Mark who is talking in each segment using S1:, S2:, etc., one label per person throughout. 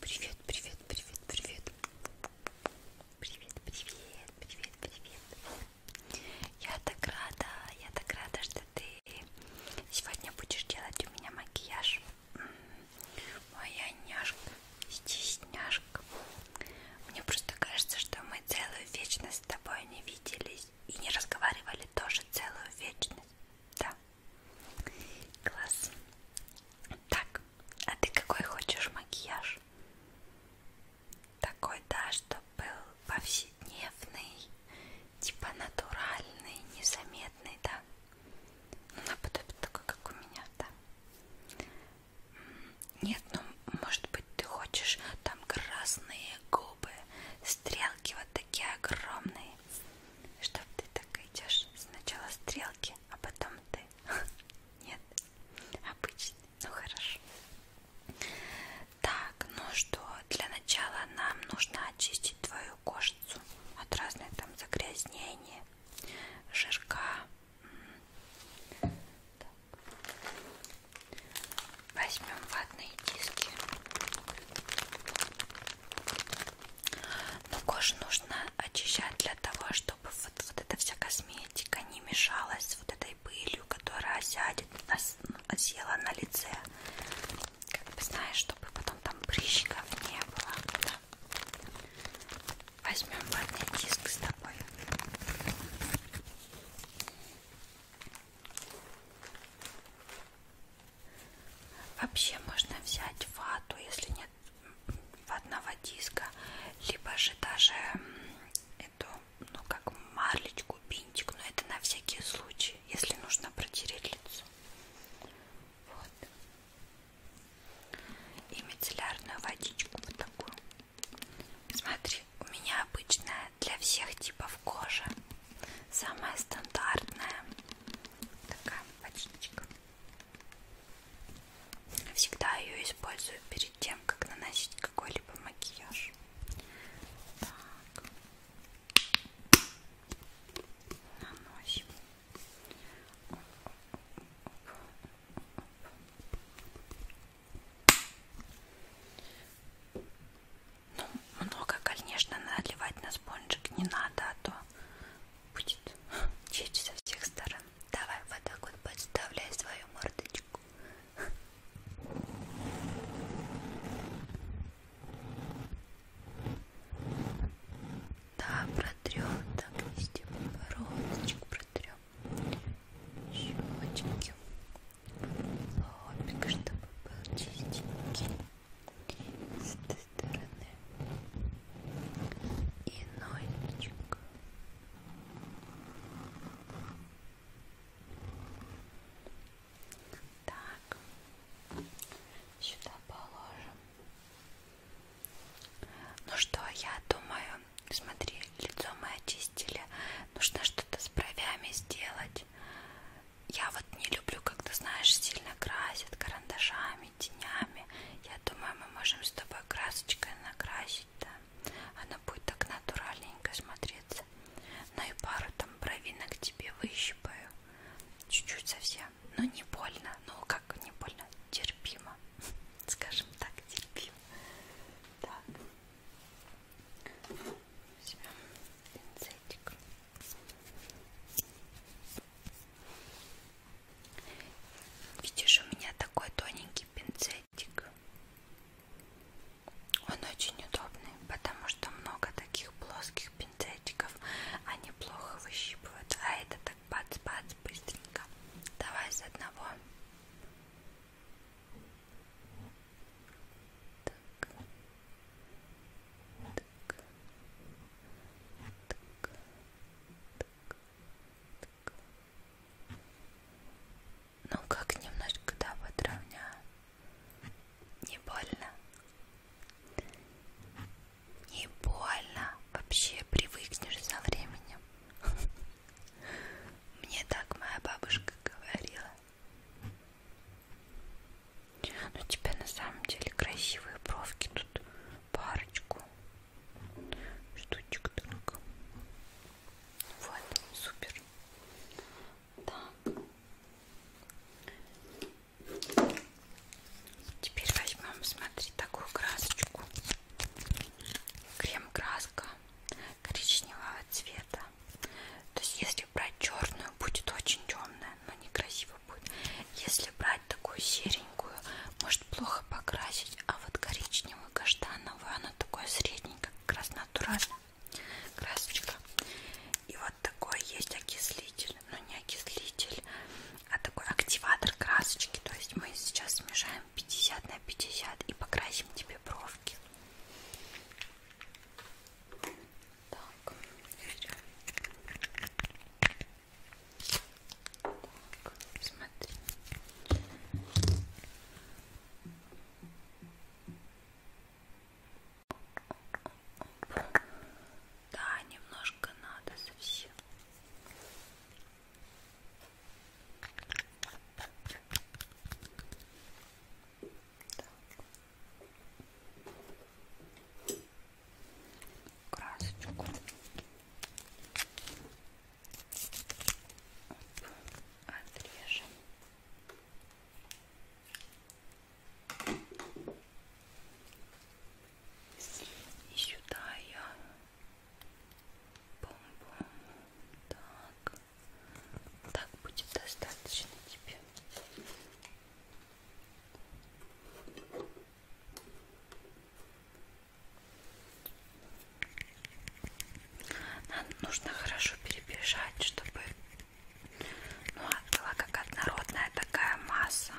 S1: Привет, привет, привет, привет. Привет, привет, привет, привет. Я так рада, я так рада, что ты сегодня будешь делать у меня макияж. Моя няшка, стесняшка. Мне просто кажется, что мы целую вечность с тобой не виделись и не разговаривали тоже целую вечность. Да. Класс. Так, а ты какой хочешь макияж? Такой, да, чтобы был повседневный, типа натуральный, незаметный, да? Ну, наподобие такой, как у меня, да? Нет, ну, может быть, ты хочешь там красные губы, стрелки вот такие огромные. Чтоб ты так идешь сначала стрелки, а потом ты. Нет, обычный. Ну хорошо. Так, ну что, для начала нам нужно очистить твою кожицу от разных там загрязнений, жирка так. Возьмем ватные диски. Но ну, кожу нужно очищать для того, чтобы вот, вот эта вся косметика не мешалась с вот этой пылью, которая осядет, осела на лице. Как бы знаешь, чтобы потом там прыщиков не было. Да. Возьмем ватный диск с тобой. Вообще можно взять вату, если нет ватного диска, либо же даже эту, ну как марлечку, бинтик, но это на всякий случай, если нужно протереть лицо. Вот. И мицеллярную водичку вот такую. Смотри, у меня обычная для всех типов кожи. Самая стандартная. Такая почечка. Всегда ее использую перед тем, как наносить какой-либо макияж. Так. Наносим. Ну, много, конечно, наливать на спонжик не надо, а то будет течь со всех сторон. Давай вот так вот подставляй свою мордочку. Да, протрем так везде бородочку протрем щечки, лобик, чтобы был чистенький с этой стороны и носик. Так, сюда положим. Ну что, я думаю, смотри, лицо мы очистили. Нужно что-то с бровями сделать. Я вот не люблю, когда, знаешь, сильно красят карандашами, тенями. Я думаю, мы можем с тобой красочкой накрасить, да. Она будет так натуральненько смотреться. Ну и пару там бровинок тебе выщипаю. Чуть-чуть совсем. Ну не больно. Ну как не больно? Терпимо. Скажем так, терпимо. Так. Возьмем пинцетик. Видишь, у меня такой тоненький пинцетик. Он очень удобный, потому что много таких плоских пинцетиков. Они плохо выщипывают. А это так бац-бац быстренько. Давай с одного. Так. Так. Так. Так. Так. Ну как немножко, да, подровняю. Не больно. Не больно. Вообще привыкнешь со временем. Мне так моя бабушка говорила. Но у тебя на самом деле красивые бровки тут парочку штучек только. Вот, супер. Так. Теперь возьмем, смотри, такую красочку. Крем-краска коричневого цвета. То есть если брать черную, будет очень темная, но некрасиво будет. Если брать такую серенькую, может плохо покрасить, а вот коричневую, каштановую, она такое средненькое, как раз натурально. Красочка. И вот такой есть окислитель, но ну, не окислитель, а такой активатор красочки. То есть мы сейчас смешаем 50 на 50 и покрасим тебе бровки. Так, берем. Так, смотри. Да, немножко надо совсем. Так. Красочку. Отрежем. И сюда я Бум-бум. Так. Так будет достаточно тебе. Нам нужно хорошо перебежать, чтобы... Ну, а, была как однородная такая масса.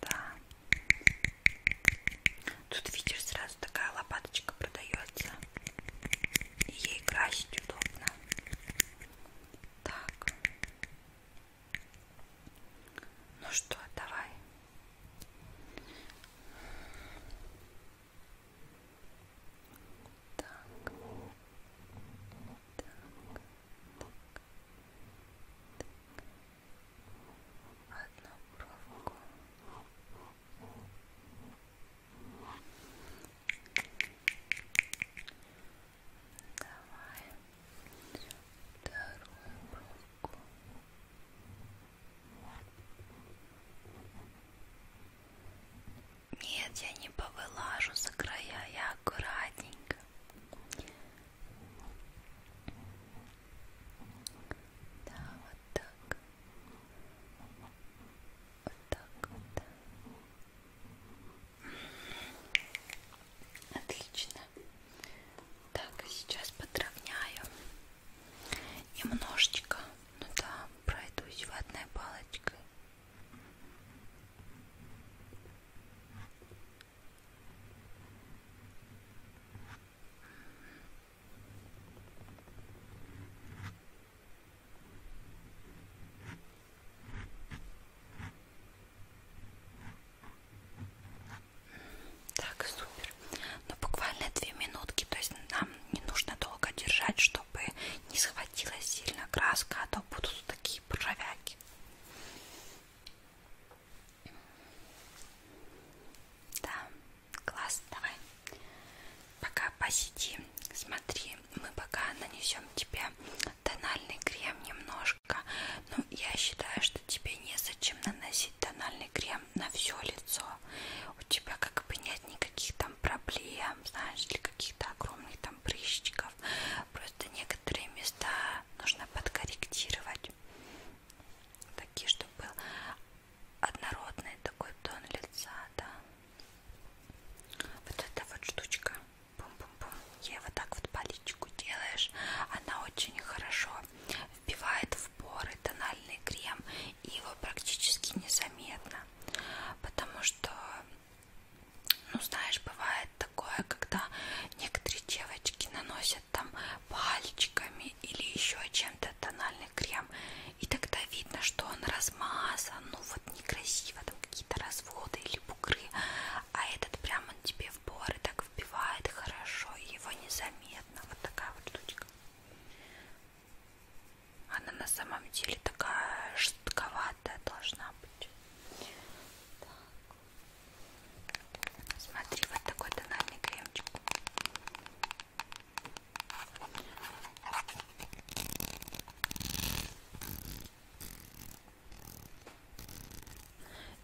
S1: Да. Тут, видишь, сразу такая лопаточка продается. Ей красить удобно. Так. Ну что, давай. Так. Так. так. так. Одну бровку. Давай вторую бровку. Нет, я не повылажу за края, я аккуратненько. Да, вот так. Вот так вот. Отлично. Так, сейчас подровняю немножечко. Ну да, пройдусь ватной палочкой. Так, супер. Но ну, буквально две минутки, то есть нам не нужно долго держать, чтобы не схватилась сильно краска, а то будут такие поржавяки. Да. Класс, давай. Пока посиди, смотри, мы пока нанесем тебе тональный крем немножко. Но я считаю, что тебе незачем наносить тональный крем на все лицо. У тебя как бы нет никаких там проблем, знаешь, или каких-то огромных там прыщиков. Просто некоторые места нужно подкорректировать, чуть-чуть. Такие, чтобы был однородный такой тон лица, да. Вот эта вот штучка. Бум-бум-бум. Ей вот так вот паличку делаешь. Она очень хорошо вбивает в поры тональный крем. И его практически незаметно. Потому что, ну знаешь, бывает такое, когда некоторые девочки наносят наносят там пальчиками или еще чем-то тональный крем, и тогда видно, что он размазан, ну вот некрасиво, там какие-то разводы или бугры, а этот прям он тебе в поры так вбивает хорошо, и его незаметно, вот такая вот штучка. Она на самом деле такая жестковатая должна быть. Так. Смотри, вот такой тональный кремчик.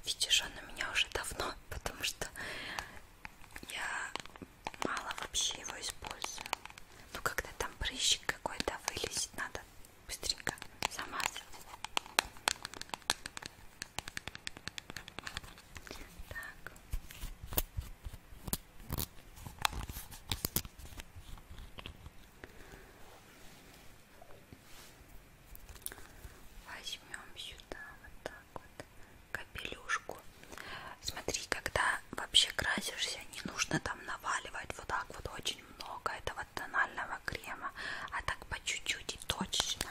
S1: Видишь, он у меня уже давно, потому что я мало вообще его использую. Ну, когда там прыщик какой-то вылезет, надо быстренько замазать. Так. Возьмем сюда вот так вот капелюшку. Смотри, когда вообще красишься, не нужно там наваливать вот так вот очень много этого тонального крема, а так по чуть-чуть и точно.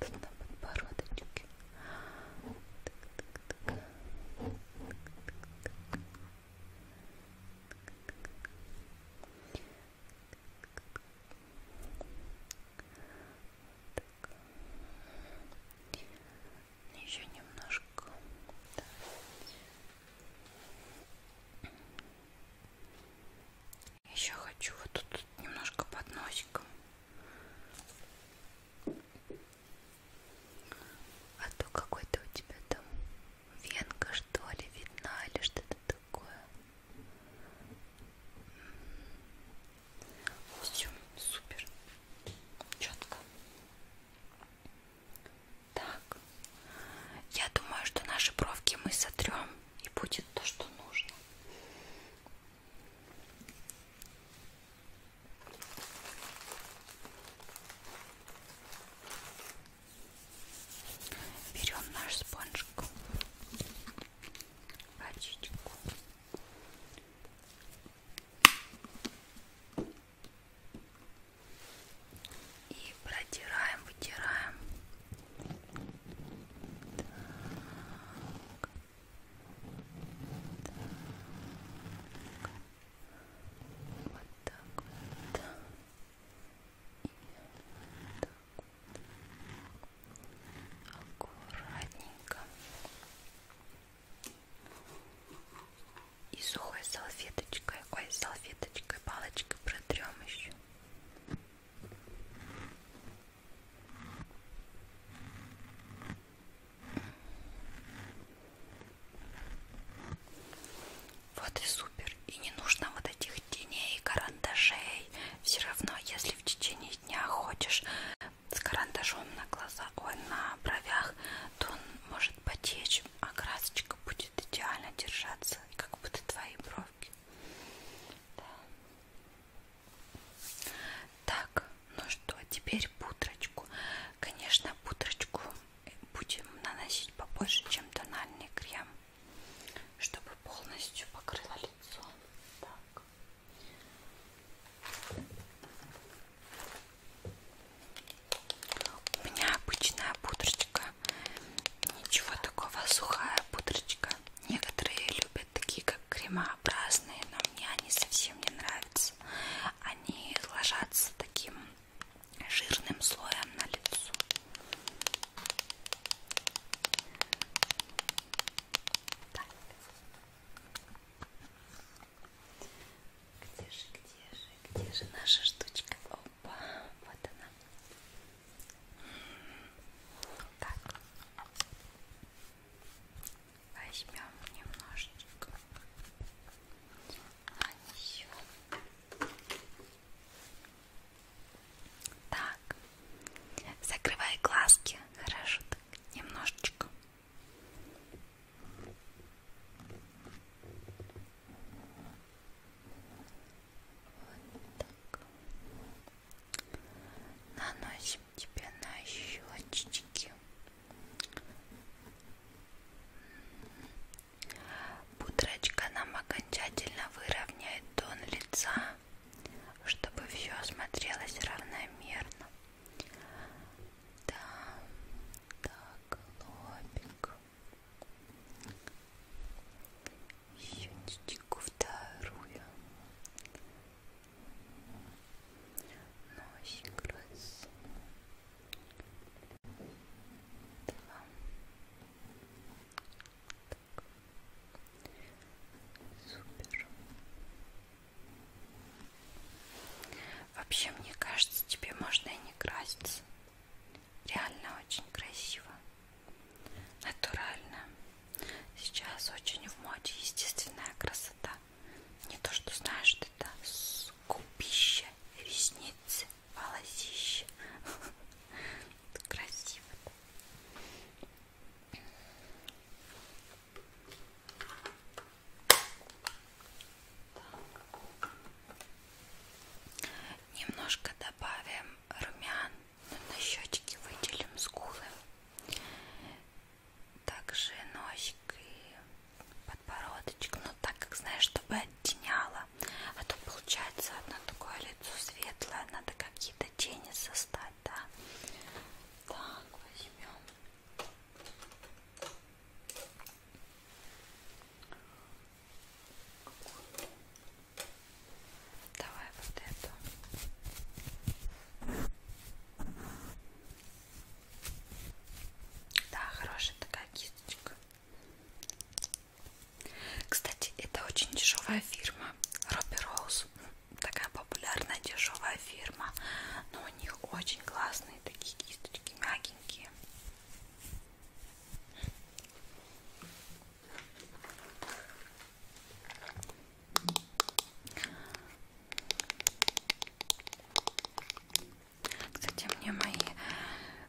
S1: Тут на подбородочке. Еще немножко. Да. Еще хочу вот тут немножко под носиком а то какой-то у тебя там венка что ли видна или что-то такое все супер четко так. Я думаю, что наши бровки мы сотрем и будет то, что нужно. Берем наш спонжик, рачечку. И протираем, вытираем. Так. Так. Вот так вот. И вот так вот. Аккуратненько. И сухой салфеточкой, ой, салфеточкой, палочкой протрем еще. Вот и супер. И не нужно вот этих теней, карандашей. Все равно, если в течение дня хочешь с карандашом на глаза, ой, на бровях, то он может потечь, а красочка будет идеально держаться белой, как будто твои бровки. Да. Так, ну что, теперь пудрочку. Конечно, пудрочку будем наносить побольше, чем тональный крем, чтобы полностью покрыло лицо. Так. У меня обычная пудрочка Ничего такого, сухая пудрочка. Некоторые любят такие, как кремообразные, но мне они совсем не нравятся. Они ложатся таким жирным слоем на лицо. Так. Где же, где же, где же наша штучка? О, Опа, вот она. Так. Возьмем немножечко. А, Нанесем. Так. Закрывай глазки. Хорошо так. Немножечко. Вот так. Наносим тебе на щечки. Пудрочка нам окончательно выровняет тон лица, чтобы все смотрелось равномерно. Да, так, лобик еще ниточку вторую носик раз два так. супер вообще мне кажется тебе можно и не краситься Реально очень красиво, натурально. Сейчас очень в моде естественная красота. Не то, что знаешь, это скупище, ресницы, волосище. Красиво. Немножко, да, добавим румян на щечки, выделим скулы, также носик и подбородочек, но ну, так как знаешь, чтобы оттеняло, а то получается одно такое лицо светлое, надо какие-то тени создать, да? Так, возьмем. Давай вот эту. Да, хорошая такая кисточка. Кстати, это очень дешевая фирма. Робби Роуз. Такая популярная дешевая фирма. Но у них очень классные такие кисточки, мягенькие. Кстати, мне мои,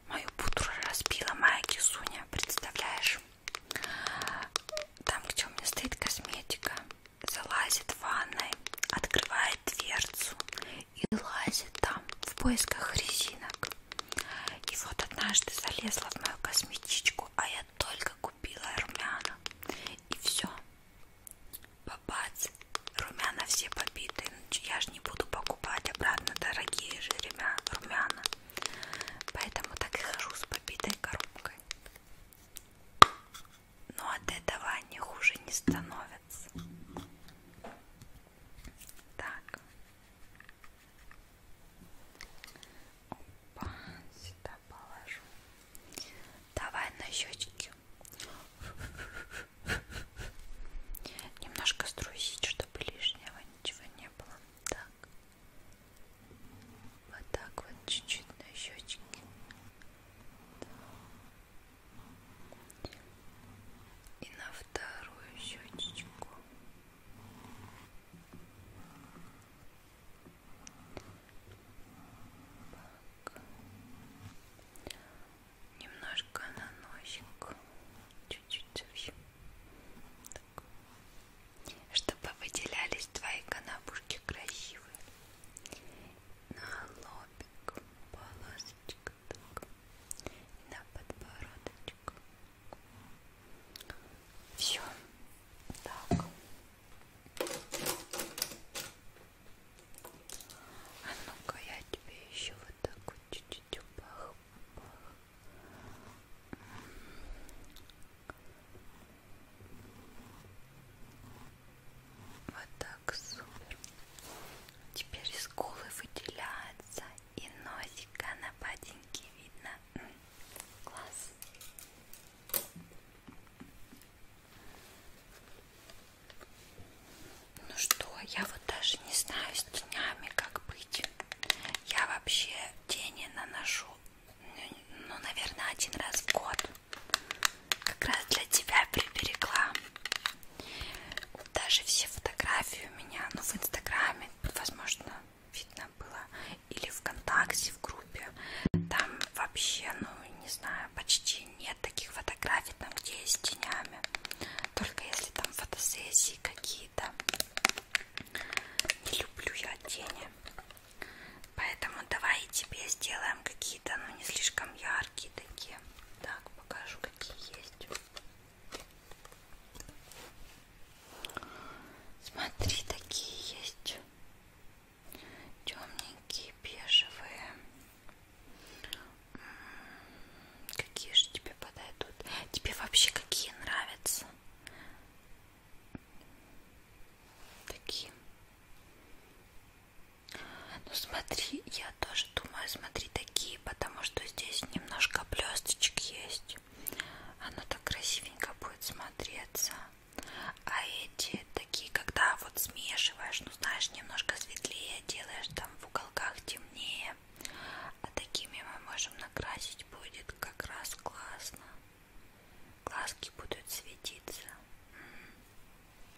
S1: мою пудру разбила моя кисуня, представляешь? Там, где у меня стоит косметика, залазит в ванной, открывает дверцу и лазит там в поисках резинок. И вот однажды залезла в мою косметичку, а я только купила румяна. И все. Бабац. Румяна все побиты. Ну, я же не буду покупать обратно дорогие же румяна. Поэтому так и хожу с побитой коробкой. Но от этого они хуже не становятся. Так. Опа, сюда положу. Давай на щечки. Немножко струсить, чтобы лишнего ничего не было. Так. Вот так вот чуть-чуть на щечки. Так и на вторую щечечку так. немножко на носик чуть-чуть чтобы выделялись твои канапушки красивые на лобик полосочка так. И на подбородочку. Все. Так. А ну-ка я тебе еще вот так вот чуть-чуть упах. Вот так супер. Теперь скулы выделяются и носика на патинке видно. Класс. Ну что, я вот даже не знаю с тенями как быть. Я вообще тени наношу, ну, наверное, один раз в год. Как раз для тебя приберегла. Даже все фотографии у меня, ну в Инстаграме, возможно, видно было, или ВКонтакте, в группе, там вообще, ну не знаю, почти нет таких фотографий, там где с тенями, только если там фотосессии какие-то. Не люблю я тени, поэтому давай тебе сделаем какие-то, ну не слишком яркие такие. Так покажу, какие есть. Смотри, такие есть темненькие, бежевые. Какие же тебе подойдут? Тебе вообще какие нравятся? Такие. Ну смотри, я тоже думаю, смотри, такие, потому что здесь немножко блесточек есть. Оно так красивенько будет смотреться. А эти такие, когда вот смешиваешь, ну знаешь, немножко светлее делаешь, там в уголках темнее. А такими мы можем накрасить, будет как раз классно. Глазки будут светиться.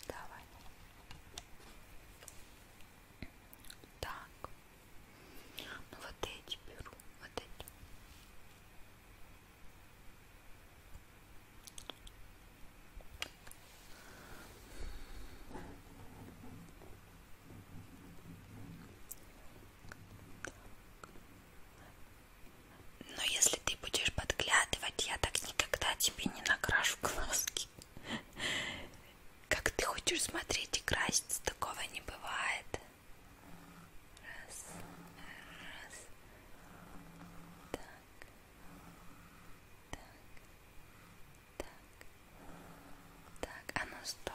S1: Давай. Так. Ну вот эти беру, вот эти. Но если ты будешь подглядывать, я так никогда тебе не накрашу глазки. Как ты хочешь смотреть и красть? Такого не бывает. Раз, раз. Так, так, так, так. А ну стоп.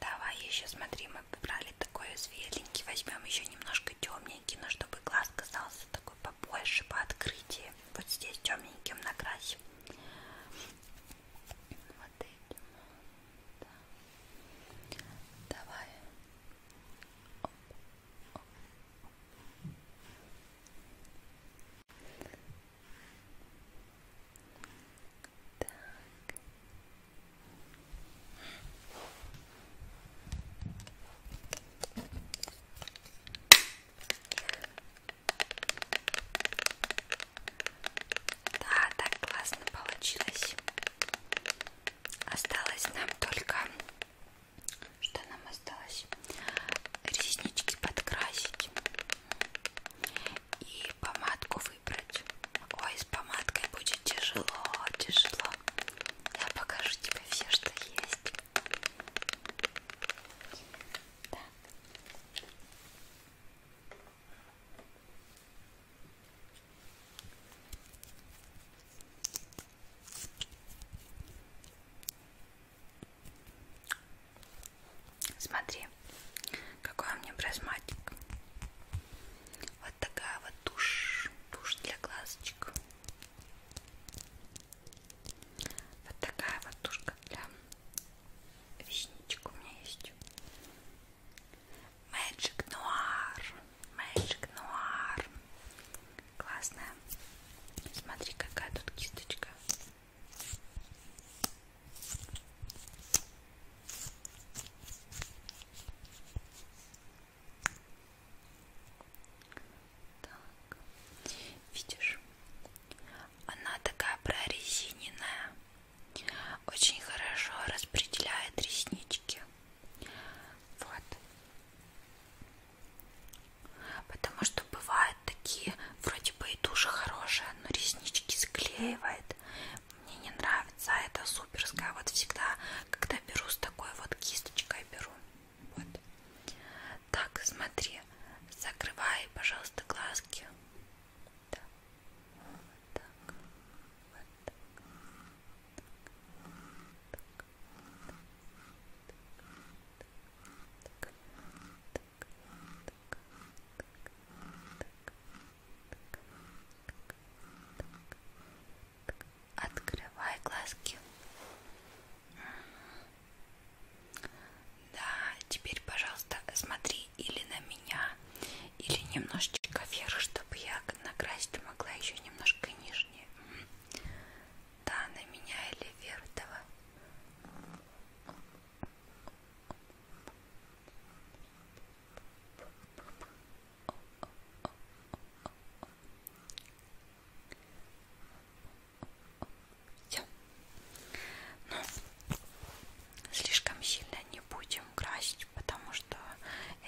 S1: Давай еще смотри, мы брали такой светленький, возьмем еще немножко темненький, но чтобы глаз казался такой побольше по открытию вот здесь темненьким накрасим. Вот этим. Да. Давай. Оп, оп. Так. Да, так классно получилось. Осталось нам только... Что нам осталось? Реснички подкрасить. И помадку выбрать. Ой, с помадкой будет тяжело, тяжело. Я покажу тебе все, что есть. Так. Смотри, какой у меня прозматик. Вот такая вот тушь, тушь для глазочек. Вот такая вот тушка для весничек у меня есть. Magic Noir. Magic Noir. Классная. Смотри, какая тут кисточка. Так. Видишь, она такая прорезиненная, очень хорошо распределяет реснички. Вот. Потому что бывают такие, вроде бы и душа хорошая, но реснички склеивает. Мне не нравится а эта суперская. Вот всегда, когда беру с такой вот кисточкой беру. Вот. Так, смотри, закрывай, пожалуйста, глазки. Да. Вот так. Вот так. Так. Так. Так. Открывай глазки. Да, теперь, пожалуйста, смотри или на меня, или немножечко вверх, чтобы я накрасить могла еще немножко нижнее. Да, на меня или вверх, давай. О -о -о -о -о -о. Все. Ну, слишком сильно не будем красить, потому что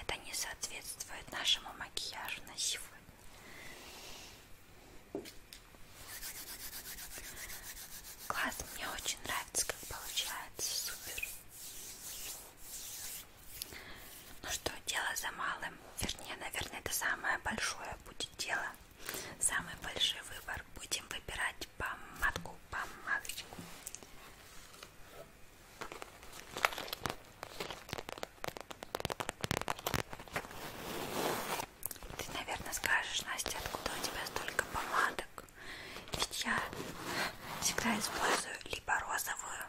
S1: это не соответствует нашему макияжу на сегодня. Класс, мне очень нравится, как получается, супер. Ну что, дело за малым, вернее, наверное, это самое большое будет дело. Самый большой выбор. Будем выбирать помадку, помадочку. Ты, наверное, скажешь, Настя, откуда у тебя столько помадок? Ведь я всегда использую либо розовую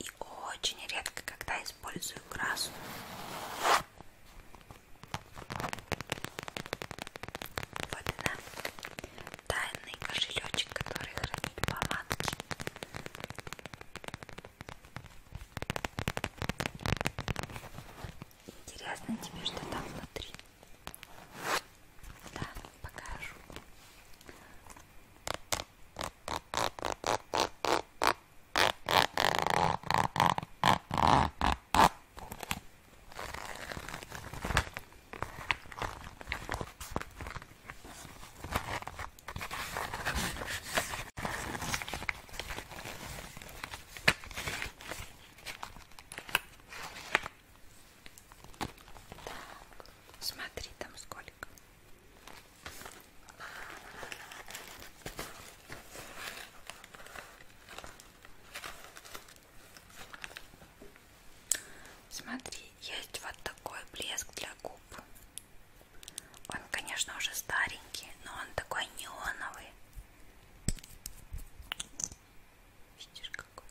S1: и очень редко, когда использую красную. Вот она, тайный кошелечек, который хранит помадки. Интересно тебе, что там внутри? Да, покажу. Смотри, там сколько. Смотри, есть вот такой блеск для губ. Он, конечно, уже старенький, но он такой неоновый. Видишь, какой?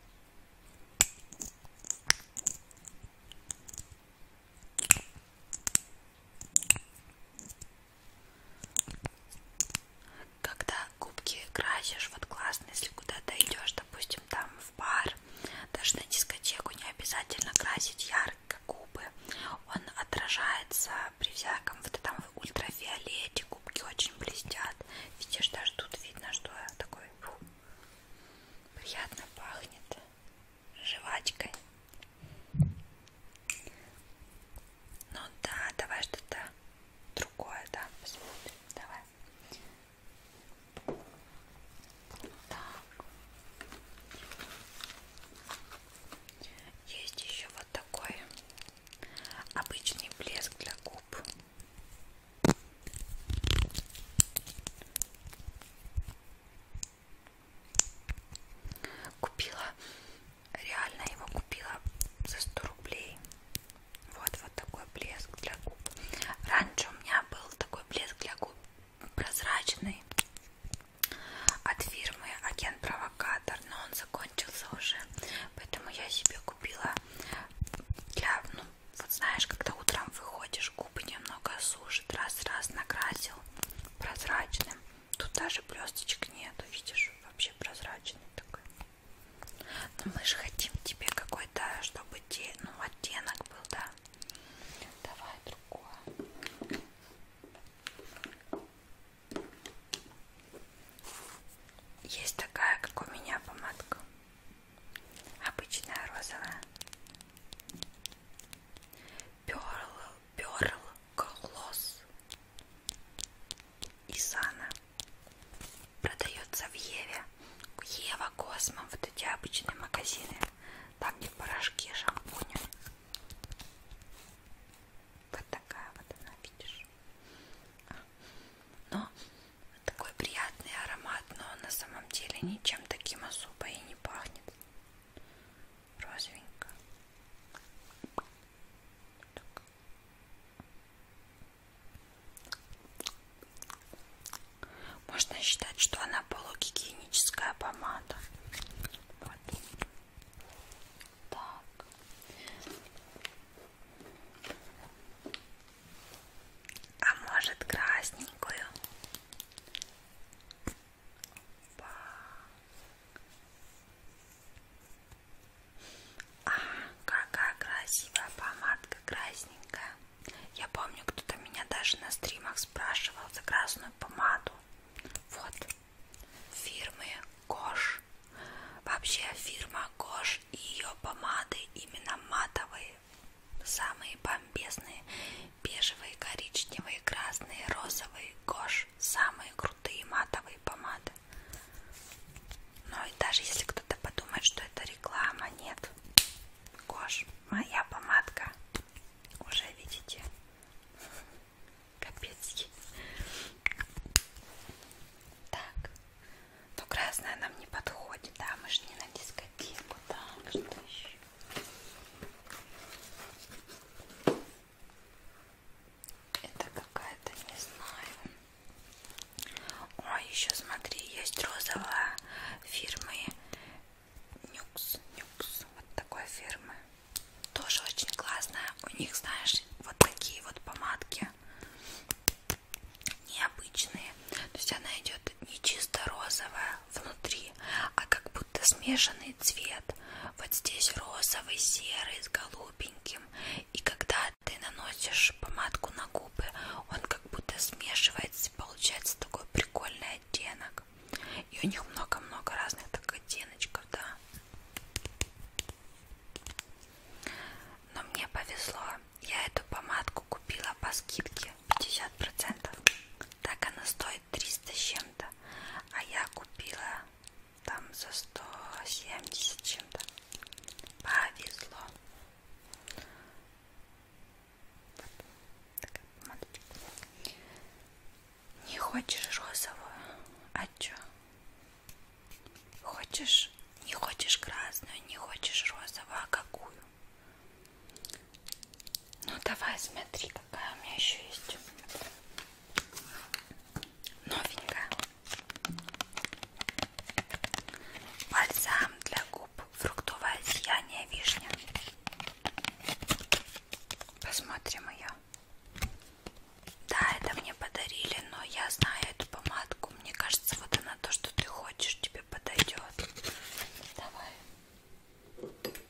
S1: Когда губки красишь, вот классно, если куда-то идешь, допустим, там в бар, даже на дискотеку не обязательно красить ярко губы, он отражается при всяком, вот там в ультрафиолете губки очень блестят, видишь, даже тут видно, что такой фу, приятно пахнет жвачкой ну да, давай что-то другое, да, посмотрим. Давай. Так. Есть еще вот такой обычный блеск для губ. Купила, реально его купила за 100 рублей. Вот, вот такой блеск для губ. Раньше у меня был такой блеск для губ прозрачный от фирмы Агент Провокатор, но он закончился уже, поэтому я себе купила для, ну, вот знаешь, когда утром выходишь, губы немного сушит, раз-раз накрасил прозрачным Тут даже блесточек нету, видишь, вообще прозрачный такой. Но мы же хотим тебе какой-то, чтобы те, ну, оттенок был, да? Давай другое. Есть такая, как у меня, помадка. Обычная розовая. Перл, перл, глосс. Исана продается в Еве. Ева, Космо, вот эти обычные магазины. Там где порошки, шампуни. Вот такая вот она, видишь. Но такой приятный аромат, но на самом деле ничем таким особо и не пахнет розовенько. Так. Можно считать, что она полугигиеническая помада. Вот. Так. А может красненькую? Опа. А, какая красивая помадка, красненькая. Я помню, кто-то меня даже на стримах спрашивал за красную помаду. Вот. Фирмы Кош. Вообще фирма Кош и ее помады именно матовые. Самые бомбезные. Бежевые, коричневые, красные, розовые. Кош вещь. Самые крутые матовые помады. Но ну и даже если кто-то подумает, что это реклама, нет. Гош, моя помадка. Уже видите. Капец. Так. Но красная нам не подходит, да? Мы же не на дискотеку, да? Что еще? Это какая-то, не знаю. Ой, еще смотри, есть розовая фирмы Нюкс. Нюкс. Вот такой фирмы. Тоже очень классная. У них, знаешь, вот такие вот помадки необычные. То есть она идет не чисто розовая внутри, пошли, а как будто смешанный цвет. Вот здесь розовый, серый с голубеньким. И когда ты наносишь помадку на губы, он как будто смешивается, и получается такой прикольный оттенок. И у них много-много разных так оттеночков, да. Но мне повезло, я эту помадку купила по скидке 50%. Так она стоит 300 с чем-то, а я купила там за 170 чем-то повезло вот. Такая помадочка не хочешь розовую а чё хочешь не хочешь красную не хочешь розовую а какую ну давай смотри какая у меня еще есть Новенькая. Бальзам для губ. Фруктовое сияние вишня. Посмотрим ее. Да, это мне подарили, но я знаю эту помадку. Мне кажется, вот она то, что ты хочешь, тебе подойдет. Давай.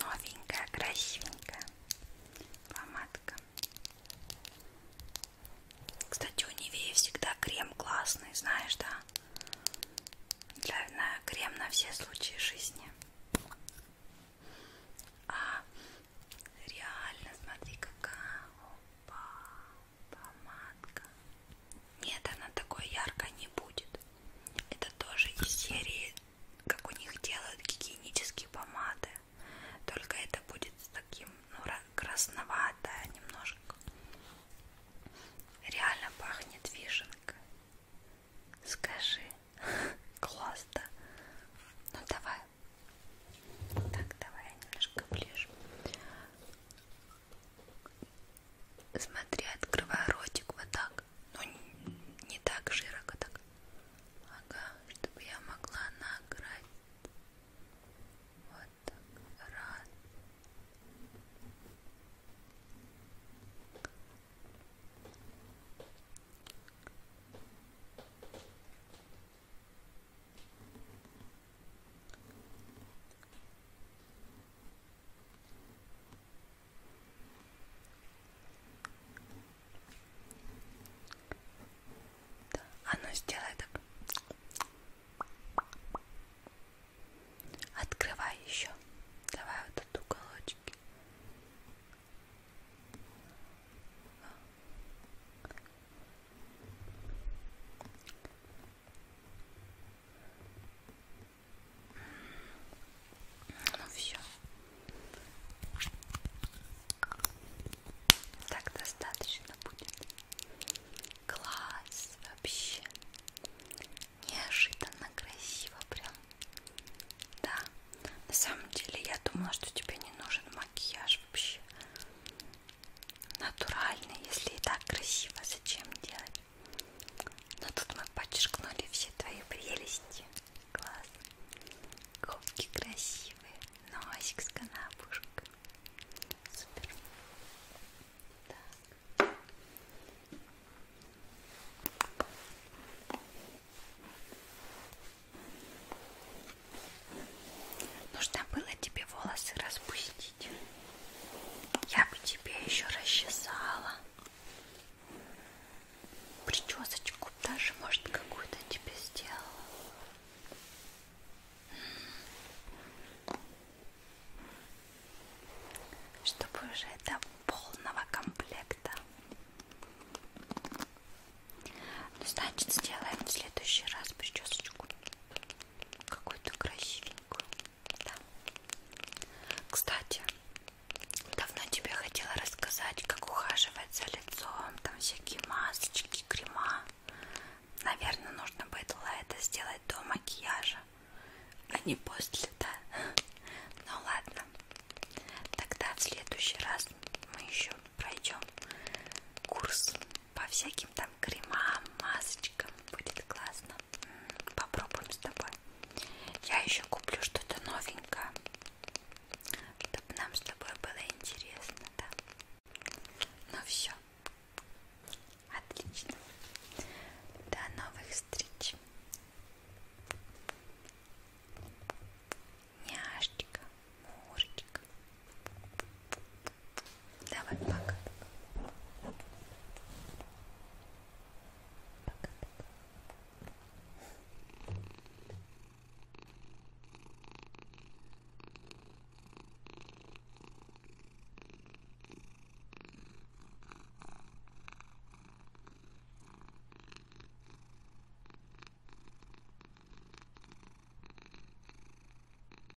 S1: Новенькая, красивенькая помадка. Кстати, у Нивеи всегда крем классный, знаешь, да? Для, на, крем на все случаи жизни. А реально, смотри, какая. Опа помадка. Нет, она такой яркой не будет. Это тоже из серии, как у них делают гигиенические помады. Только это будет с таким, ну, красноватое немножко. Реально пахнет вишенка. Скажи. Класс, да? Ну, давай. Так, давай я немножко ближе. Смотри, открывай ротик вот так. Ну, не так широко так. Ага, чтобы я могла награть. Вот так. Раз. Да. А ну сделай так. Открывай еще. Давай вот этот уголочек. Ну все. Так достаточно будет. Класс вообще. Неожиданно красиво прям. Да. На самом деле я думала, что тебе не нужен макияж вообще натурально, если и так красиво, зачем делать? Но тут мы подчеркнули все твои прелести. Класс. Губки красивые. Носик с канапушкой. Супер. Так. Нужно было тебе волосы распустить. Я бы тебе еще расчесала. Причесочку даже, может, какую-то тебе сделала. Чтобы уже до полного комплекта. Ну, значит, сделаем в следующий раз причесочку какую-то красивенькую. Да. Кстати, давно тебе хотела рассказать, как ухаживать за лицом, там всякие масочки, крема. Наверное, нужно было это сделать до макияжа, а не после, да? Ну ладно, тогда в следующий раз мы еще пройдем курс по всяким там кремам, масочкам будет классно. Попробуем с тобой. Я еще куплю что-то новенькое, чтобы нам с тобой было интересно, да? Ну все, отлично. До новых встреч. Няшечка, мурочка. Давай, пока.